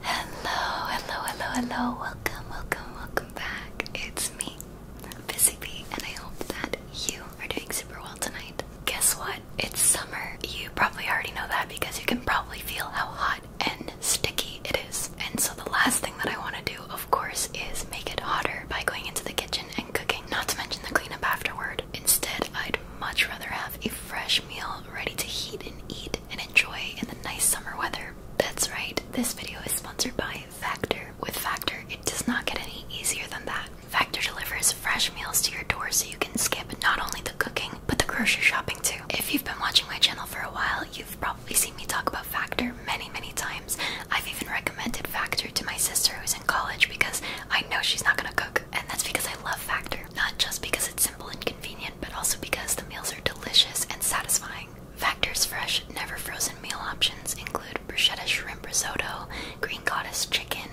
Hello, hello, hello, hello. Welcome, welcome, welcome back. It's me, Busy and I hope that you are doing super well tonight. Guess what? It's summer. You probably already know that because you can probably feel how hot and sticky it is. And so the last thing that I want to do, of course, is make it hotter by going into the kitchen and cooking, not to mention the cleanup afterward. Instead, I'd much rather have a fresh meal ready to heat and eat and enjoy in the nice summer weather. That's right, this video is sponsored by Factor. With Factor, it does not get any easier than that. Factor delivers fresh meals to your door so you can skip not only the cooking, but the grocery shopping too. If you've been watching my channel for a while, you've probably seen me talk about Factor many, many times. I've even recommended Factor to my sister who's in college because I know she's not gonna cook, and that's because I love Factor, not just because it's simple and convenient but also because the meals are delicious and satisfying. Factor's fresh, never frozen meal options include bruschetta shrimp risotto, green goddess chicken,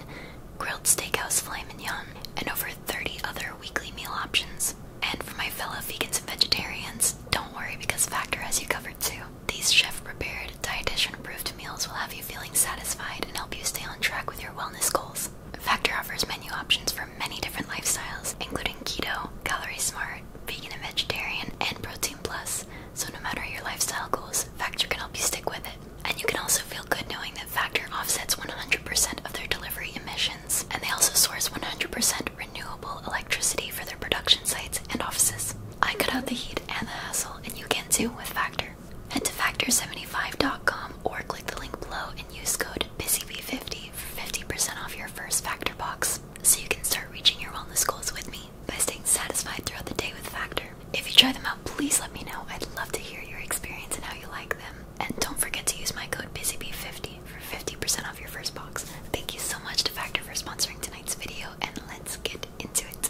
grilled steakhouse filet mignon, and over 30 other weekly meal options. And for my fellow vegans and vegetarians, don't worry because Factor has you covered too. These chef-prepared, dietitian-approved meals will have you feeling satisfied and help you stay on track with your wellness goals. Factor offers menu options for many different lifestyles, including keto, calorie smart, vegan and vegetarian, and protein plus. So no matter your lifestyle goals, Factor can help you stick with it. And you can also feel good knowing that Factor offsets 100% of their delivery emissions, and they also source 100% renewable electricity for their production sites and offices. I cut out the heat and the hassle, and you can too with Factor. Head to factor75.com or click the link below use code BUSYBEE50 for 50% off your first Factor box so you can start reaching your wellness goals with me by staying satisfied throughout the day with Factor. If you try them out, please let me know. I'd love to hear your experience and how you like them. And don't forget to use my code BUSYBEE50 for 50% off your first box. Thank you so much to Factor for sponsoring tonight's video and let's get into it.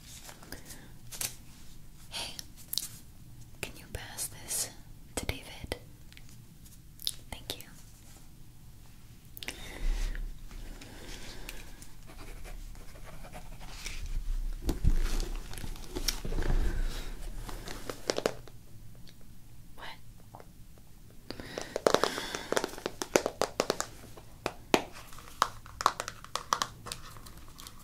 Hey, can you pass this to David? Thank you. What?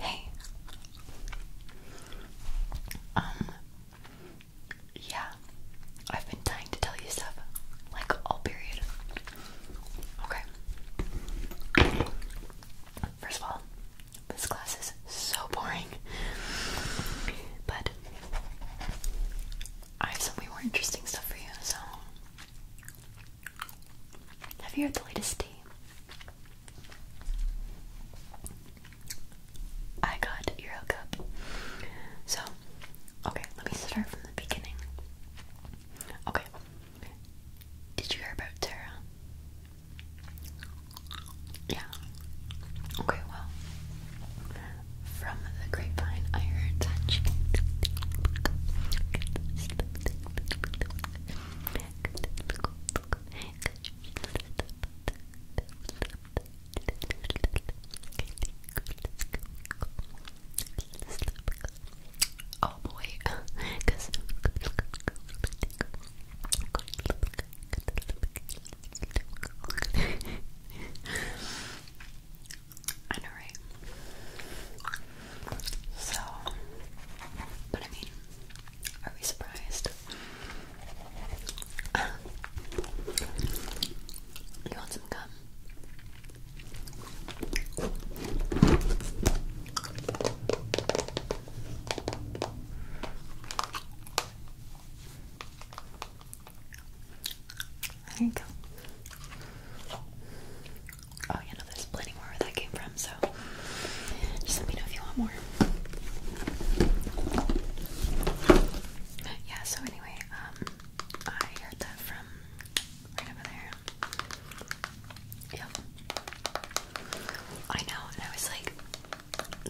Hey. Um yeah. I've been dying to tell you stuff like all period. Okay. First of all, this class is so boring. But I have some way more interesting stuff for you, so have you heard the latest tea? I got your hookup. So, okay, let me start from the beginning. Okay, did you hear about Tara? Yeah. Okay, well, from the grapevine, I heard that she Oh boy, because I know, right? So, but I mean, are we surprised? you want some gum? There you go. Oh, you know, there's plenty more where that came from, so just let me know if you want more. Yeah, so anyway, um, I heard that from Right over there. Yep. I know, and I was like,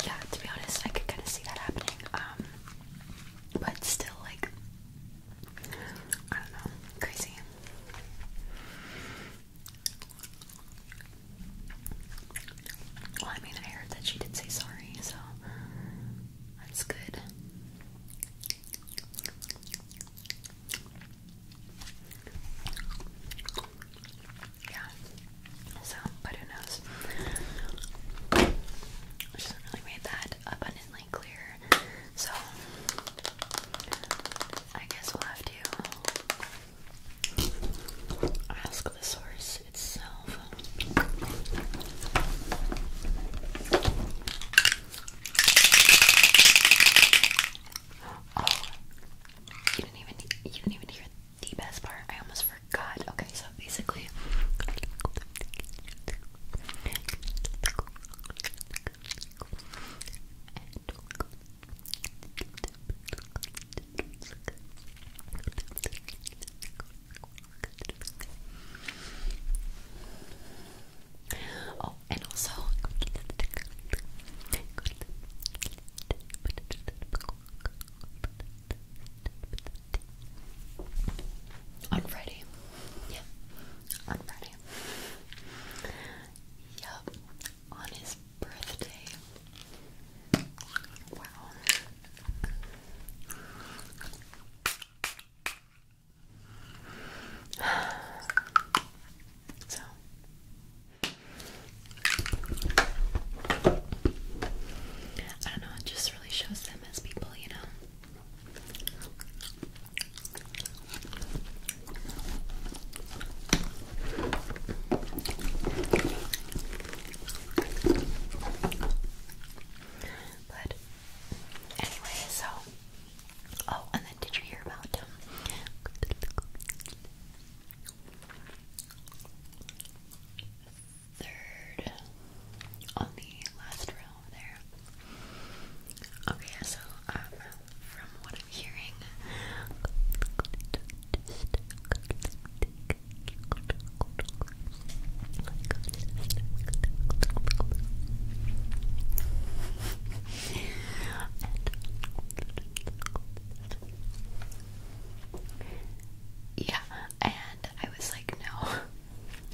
yeah, to be honest, I could kind of see that happening. Um, but still, like, I don't know, crazy. Well, I mean, I heard that she did say sorry, so that's good. Yeah. So, but who knows? Which really made that abundantly clear. So, I guess we'll have to ask the source itself. Oh, you didn't even you didn't even hear the best part. I almost forgot. Okay, so basically. Oh, and also on Friday. Yeah, on Friday. Yup, on his birthday. Wow. So I don't know, it just really shows them as people, you know. But anyway, so Oh, and then did you hear about um, Third on the last row there. Okay, so um, from what I'm hearing, yeah, and I was like, no,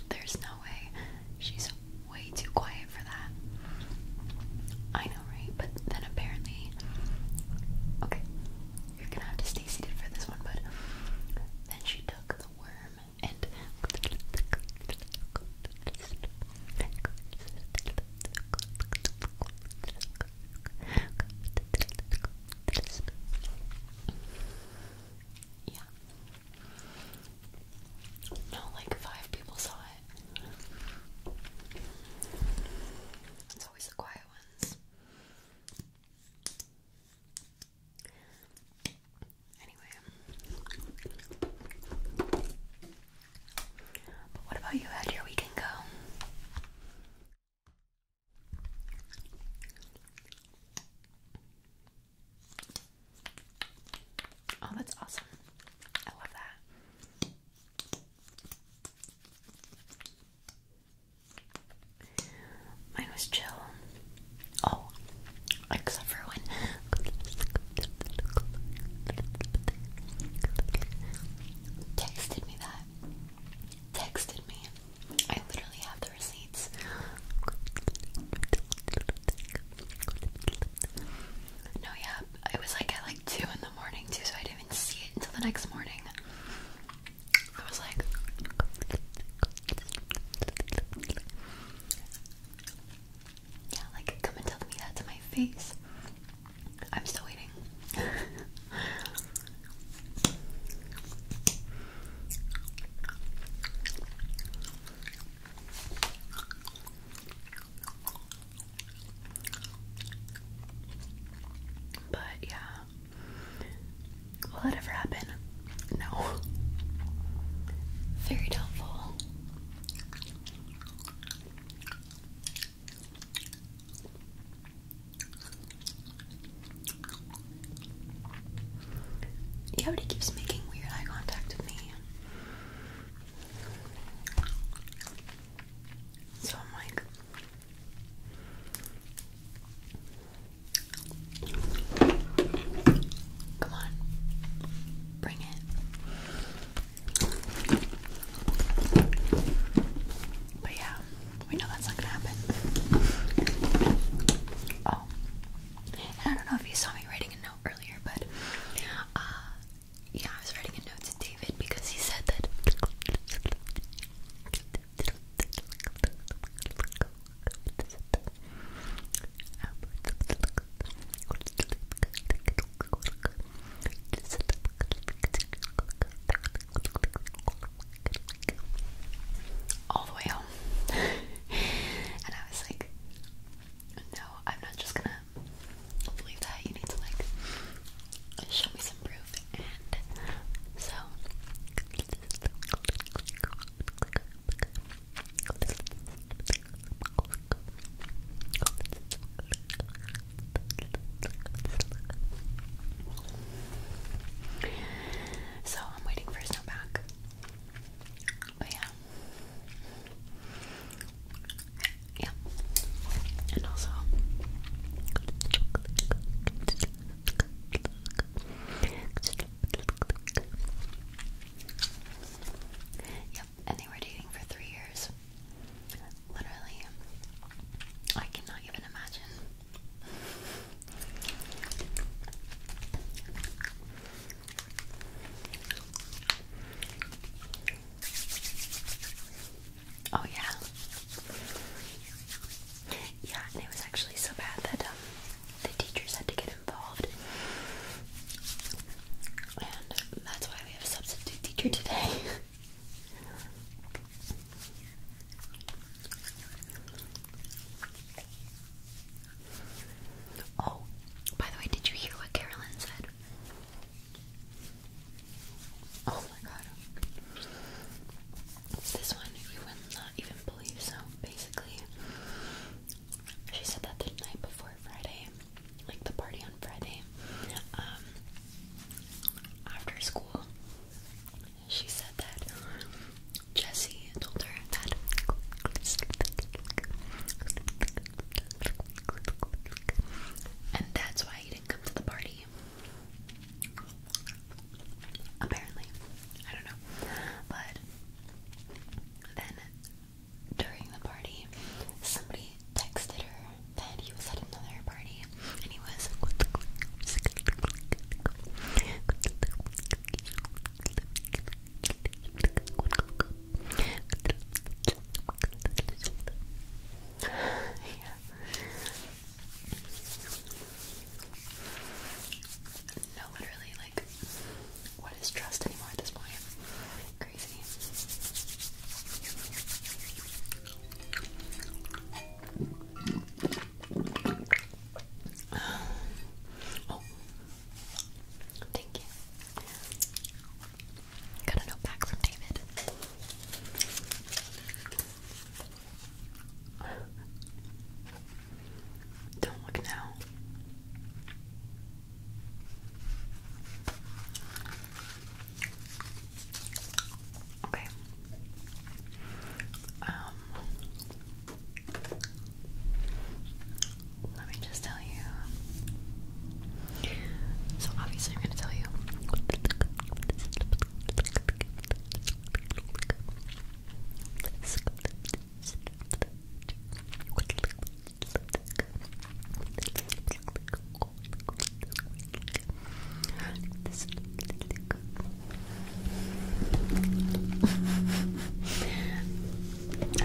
there's no way. She's way too quiet for that. I know, right? But then apparently, okay, you're gonna have to stay seated for this one, but then she took the worm and yeah. No, like five people saw it. It's always the quiet ones. Anyway. But what about you? How did your weekend go? Oh, that's awesome. I love that. Mine was chill. Oh, except for when Texted me that. Texted me. I literally have the receipts. No, yeah, it was like at like 2 in the morning too, so I didn't even see it until the next morning. I was like... Yeah, like come and tell me that to my face. I'm still waiting. but yeah. Will it ever happen? No. Very doubtful. He but keeps making weird eye contact with me. So I'm like Come on. Bring it. But yeah, we know that's not gonna happen. Oh, I don't know if you saw me writing a note earlier, but uh, yeah, I was writing a note to David because he said that all the way home. and I was like, no, I'm not just gonna believe that. You need to like show me some proof. And so so I'm waiting for snow back. But yeah. Yeah. And also yeah, and they were dating for three years. Literally, I cannot even imagine. Oh yeah, yeah, and it was actually so bad that um, the teachers had to get involved, and that's why we have substitute teacher today. Oh, by the way, did you hear what Carolyn said? Oh my god. This one you would not even believe. So basically, she said that the night before Friday, like the party on Friday, um, after school, she said that Jesse told her that and that's why he didn't come to the party. Apparently. I don't know. But then during the party, somebody texted her that he was at another party and he was yeah. No, literally, like, what is trust anymore at this point? Oh. oh, thank you. Got a note back from David. Don't look now. Okay. Um let me just tell you. So obviously I'm gonna tell you I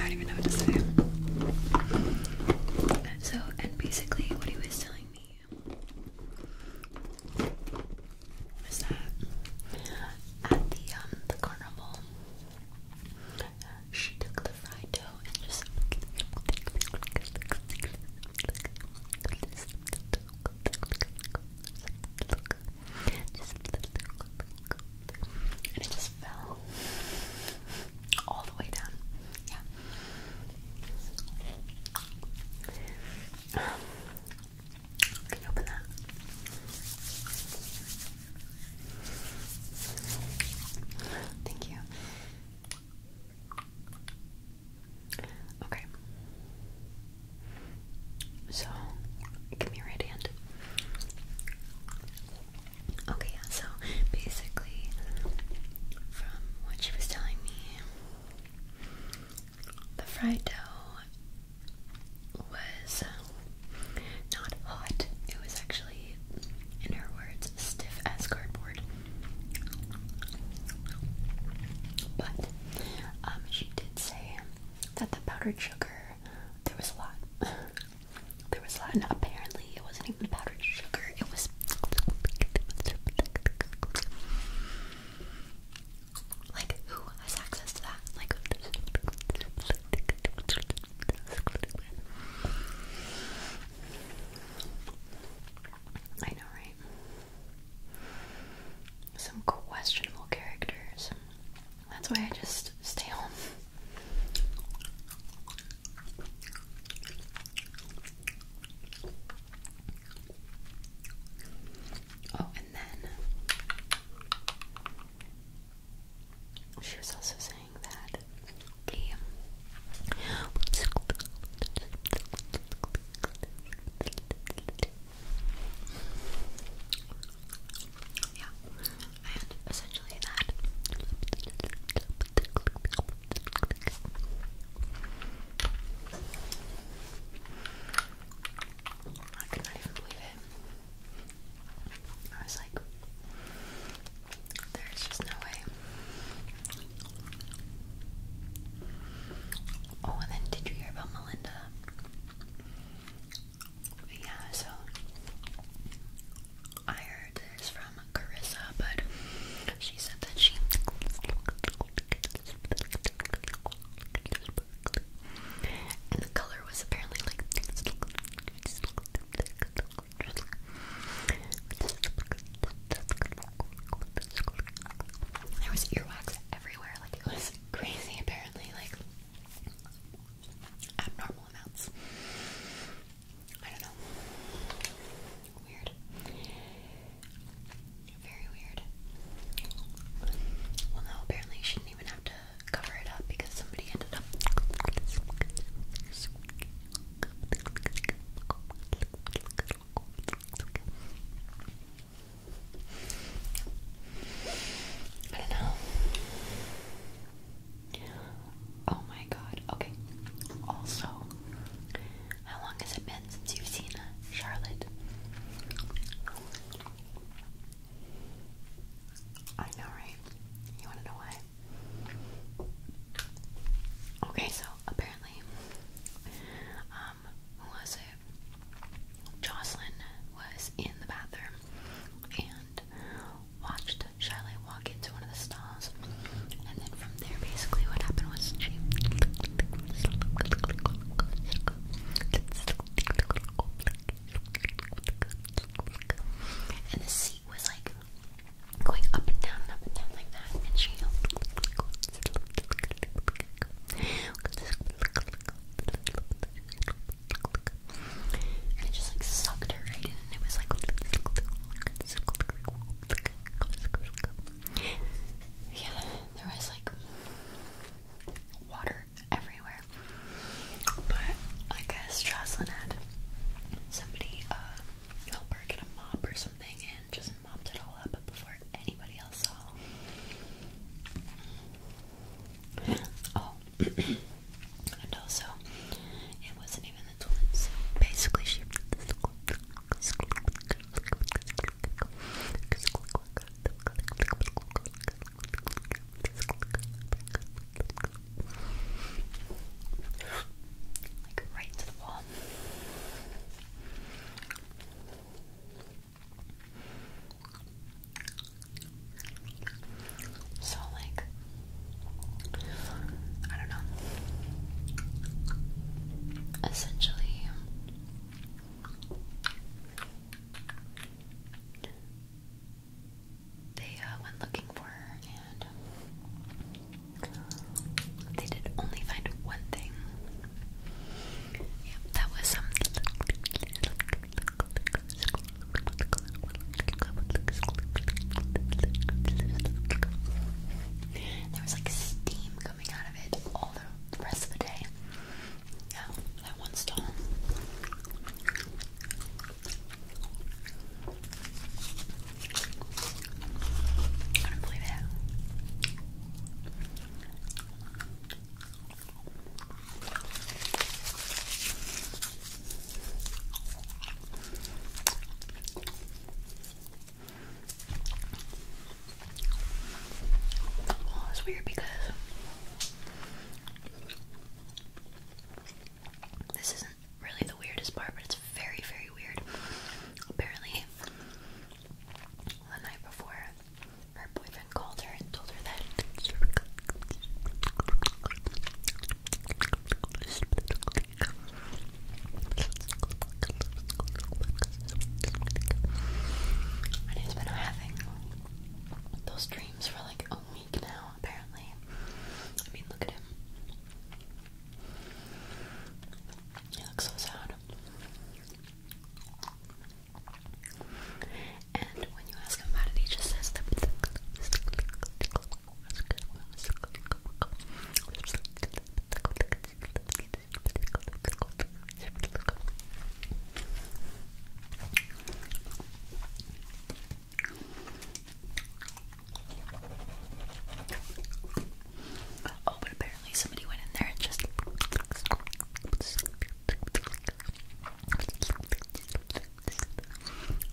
don't even know what to say. And so, and basically, what he was telling me was that at the um the carnival, she took the fried dough and just and it just fell all the way down. Yeah. Um, can you open that? Thank you. Okay. So, give me your right hand. Okay, so basically, from what she was telling me, the fried dough was not hot, it was actually, in her words, stiff as cardboard. But um, she did say that the powdered sugar, there was a lot. there was a lot, and apparently it wasn't even powdered sugar, it was like who has access to that? Like I know, right? Some questionable characters. That's why I just stay home. Oh, and then she was also saying that Okay. Yeah, and essentially that. I could even believe it. I was like, there's just no way. Oh, and then did you hear about Melinda? Yeah, so I heard this from Carissa, but she said that she and the color was apparently like there was earwax everywhere, like it was crazy apparently, like abnormal amounts. I don't know. Weird. Very weird. Well no, apparently you shouldn't even have to cover it up because somebody ended up I don't know. Oh my god. Okay. Also, how long has it been since you've seen uh, Charlotte? I know, right? You want to know why? Okay, so apparently definitely. Um, who was it? Jocelyn was in the bathroom and watched Shiley walk into one of the stalls. And then from there, basically, what happened was she. And the seat was like going up and down up and down like that, and she and it just like sucked her right in, and it was like yeah, there was like water everywhere. But I guess Jocelyn had somebody uh, help her get a mop or something, and just mopped it all up before anybody else saw. Oh, and also, it wasn't even the twins. basically, she. Like right to the wall. So, like, I don't know. Essentially, they uh, went looking for her and they did only find one thing. Yep, that was some. Um, there was like steam coming out of it all the rest of the day. Yeah, that one stall it's weird because this isn't really the weirdest part, but it's very, very weird. Apparently, the night before, her boyfriend called her and told her that and he's been having those dreams for like a week now, apparently. I mean, look at him. He looks so sad. And when you ask him about it, he just says Oh, but apparently somebody went in there and just.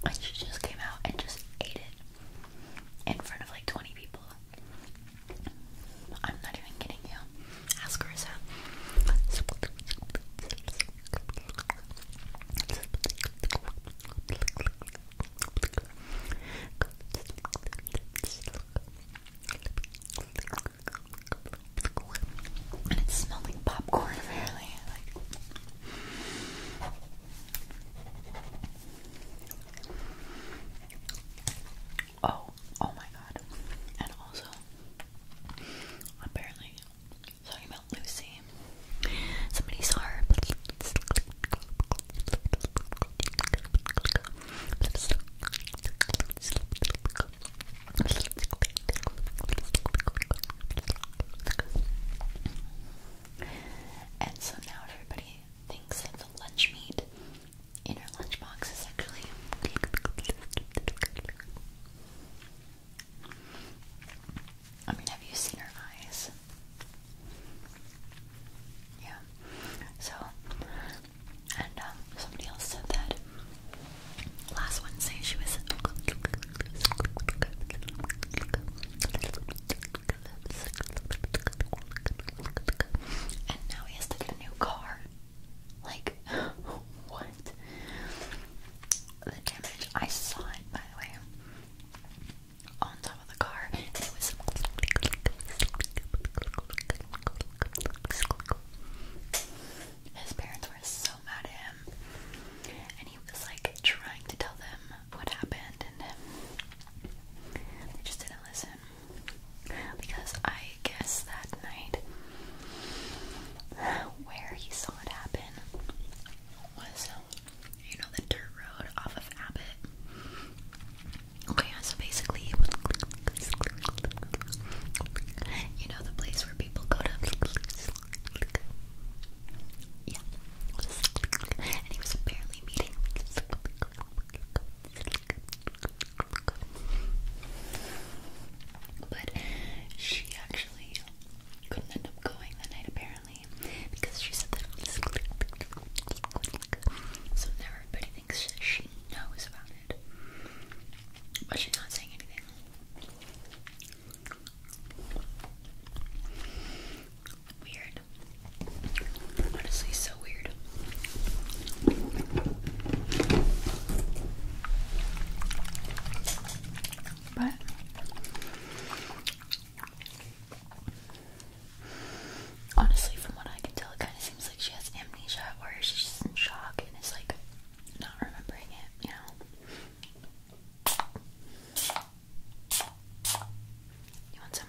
And she just came out and just ate it in front of like 20 people. I'm not even kidding you. Ask her herself. And it smells like popcorn, apparently. Oh, oh my god. And also, apparently, talking about Lucy, somebody saw her. And so now everybody thinks that the lunch meat in her lunchbox is actually. I mean, have you seen her eyes? Yeah. So and um, somebody else said that last Wednesday she was and now he has to get a new car. Like, what? The damage, I saw it by the way, on top of the car. His parents were so mad at him, and he was like trying to tell them what happened, and they just didn't listen. Because I guess that night where he saw it happen was, you know, the dirt road off of Abbott. Okay, so basically, you know the place where people go to. Yeah, and he was apparently meeting. But she actually couldn't end up going that night apparently because she said that. So now thinks she knows about it, but she's not saying anything. Weird. Honestly, so weird. But honestly, from what I can tell, it kind of seems like she has amnesia, or she's just in shock and is like not remembering it, you know. You want some?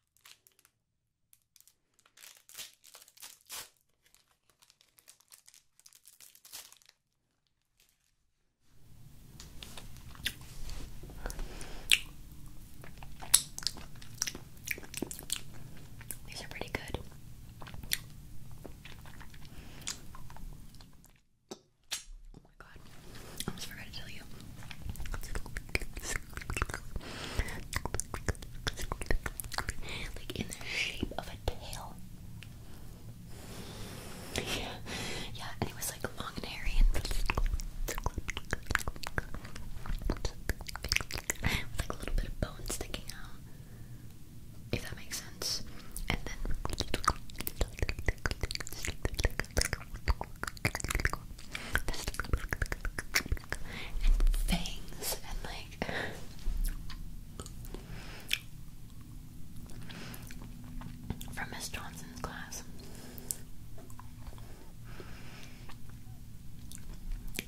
These are pretty good. Oh my god. I almost forgot to tell you. Like in the shape of a tail. Yeah, yeah, and it was like long and hairy and like a little bit of bone sticking out. If that makes sense. And then and fangs and like from Miss Johnson's class.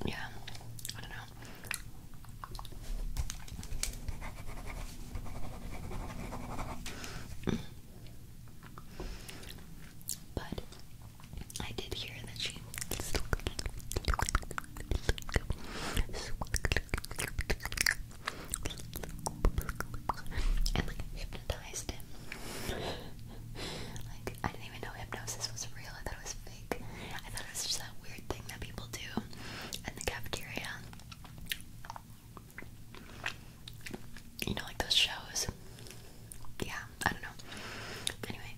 Yeah, I don't know. But I did hear that she hypnotized him. like I didn't even know hypnosis was real. I thought it was fake. I thought it was just that weird thing that people do in the cafeteria. You know, like those shows yeah, I don't know. Anyway.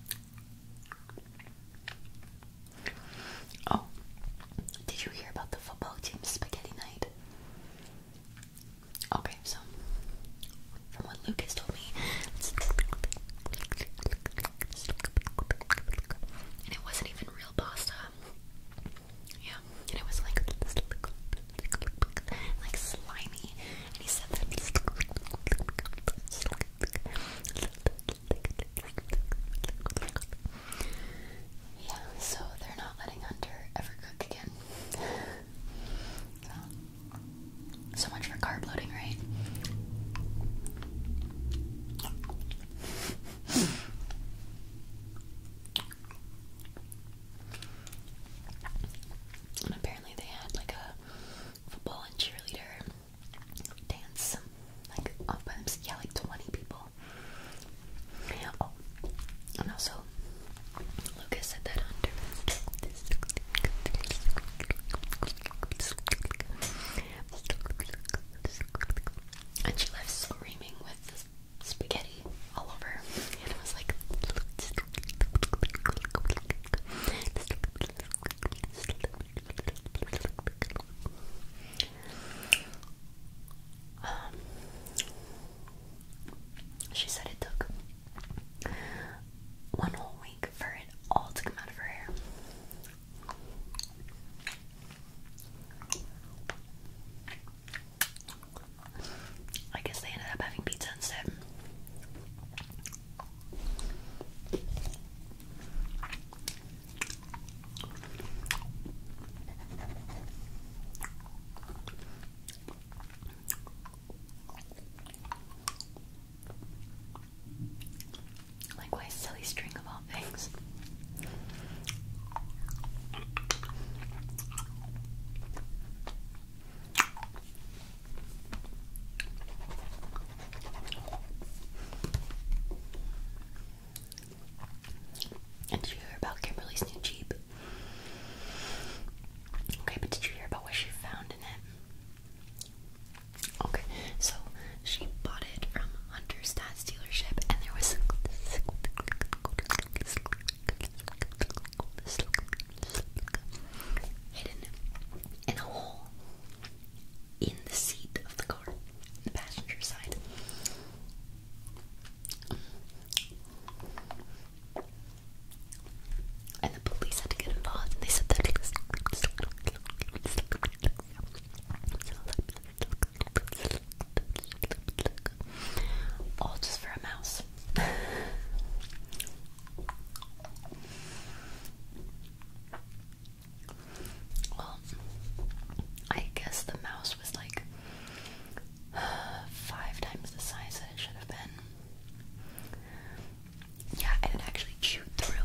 Oh, did you hear about the football team spaghetti night? Okay, so from what Lucas told me, and it wasn't even real pasta. Yeah, and it was like like slimy. Yeah, so they're not letting Hunter ever cook again. so much for carb loading, right? And apparently they had like a football and cheerleader dance, like off by themselves. Yeah, like 20 people. Yeah, oh. and also Lucas said that on and she left screaming with spaghetti all over, and it was like, um, she said it took one whole week for it all to come out of her hair. I guess they ended up having pizza instead. Like why silly string of all things? did you hear about Kimberly's new Jeep? Okay, but did you hear about what she found in it? Okay, so she bought it from Hunter's dad's dealership, and there was all hidden in a hole in the seat of the car, the passenger side. And the police had to get involved, and they said that it All just for a mouse well, I guess the mouse was like five times the size that it should have been. Yeah, and it actually chewed through.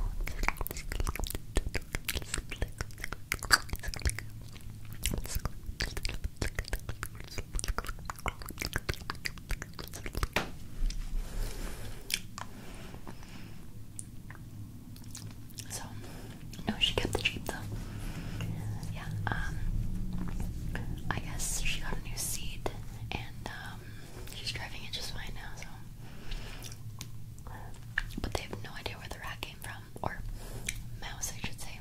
So, no, oh, she kept the Jeep though. Yeah, um, I guess she got a new seat and um, she's driving it just fine now, so. But they have no idea where the rat came from, or mouse, I should say.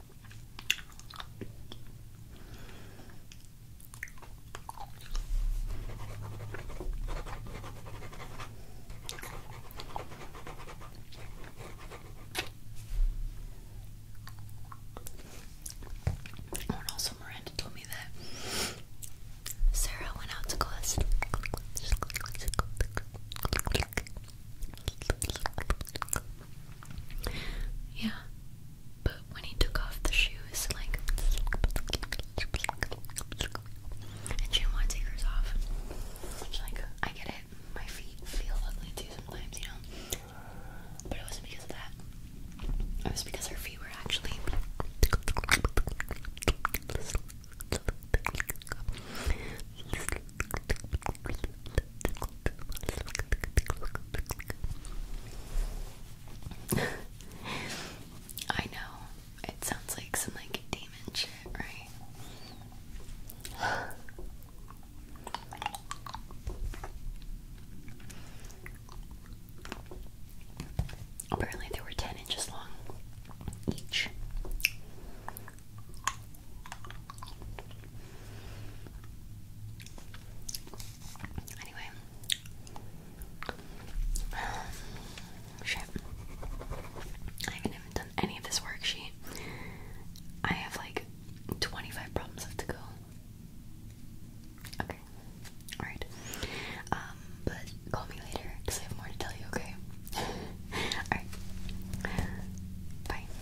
Oh, and also Miranda told me that Sarah went out to class. Yeah, but when he took off the shoes, like, and she did to take hers off. Which, like, I get it. My feet feel ugly too sometimes, you know? But it wasn't because of that. It was because her feet were actually. I know. It sounds like some like demon shit, right? Apparently they were 10 inches long each. Anyway. Shit. I haven't done any of this worksheet. I have like 25 problems left to go. Okay. Alright. Um, but call me later because I have more to tell you, okay? Alright. Bye.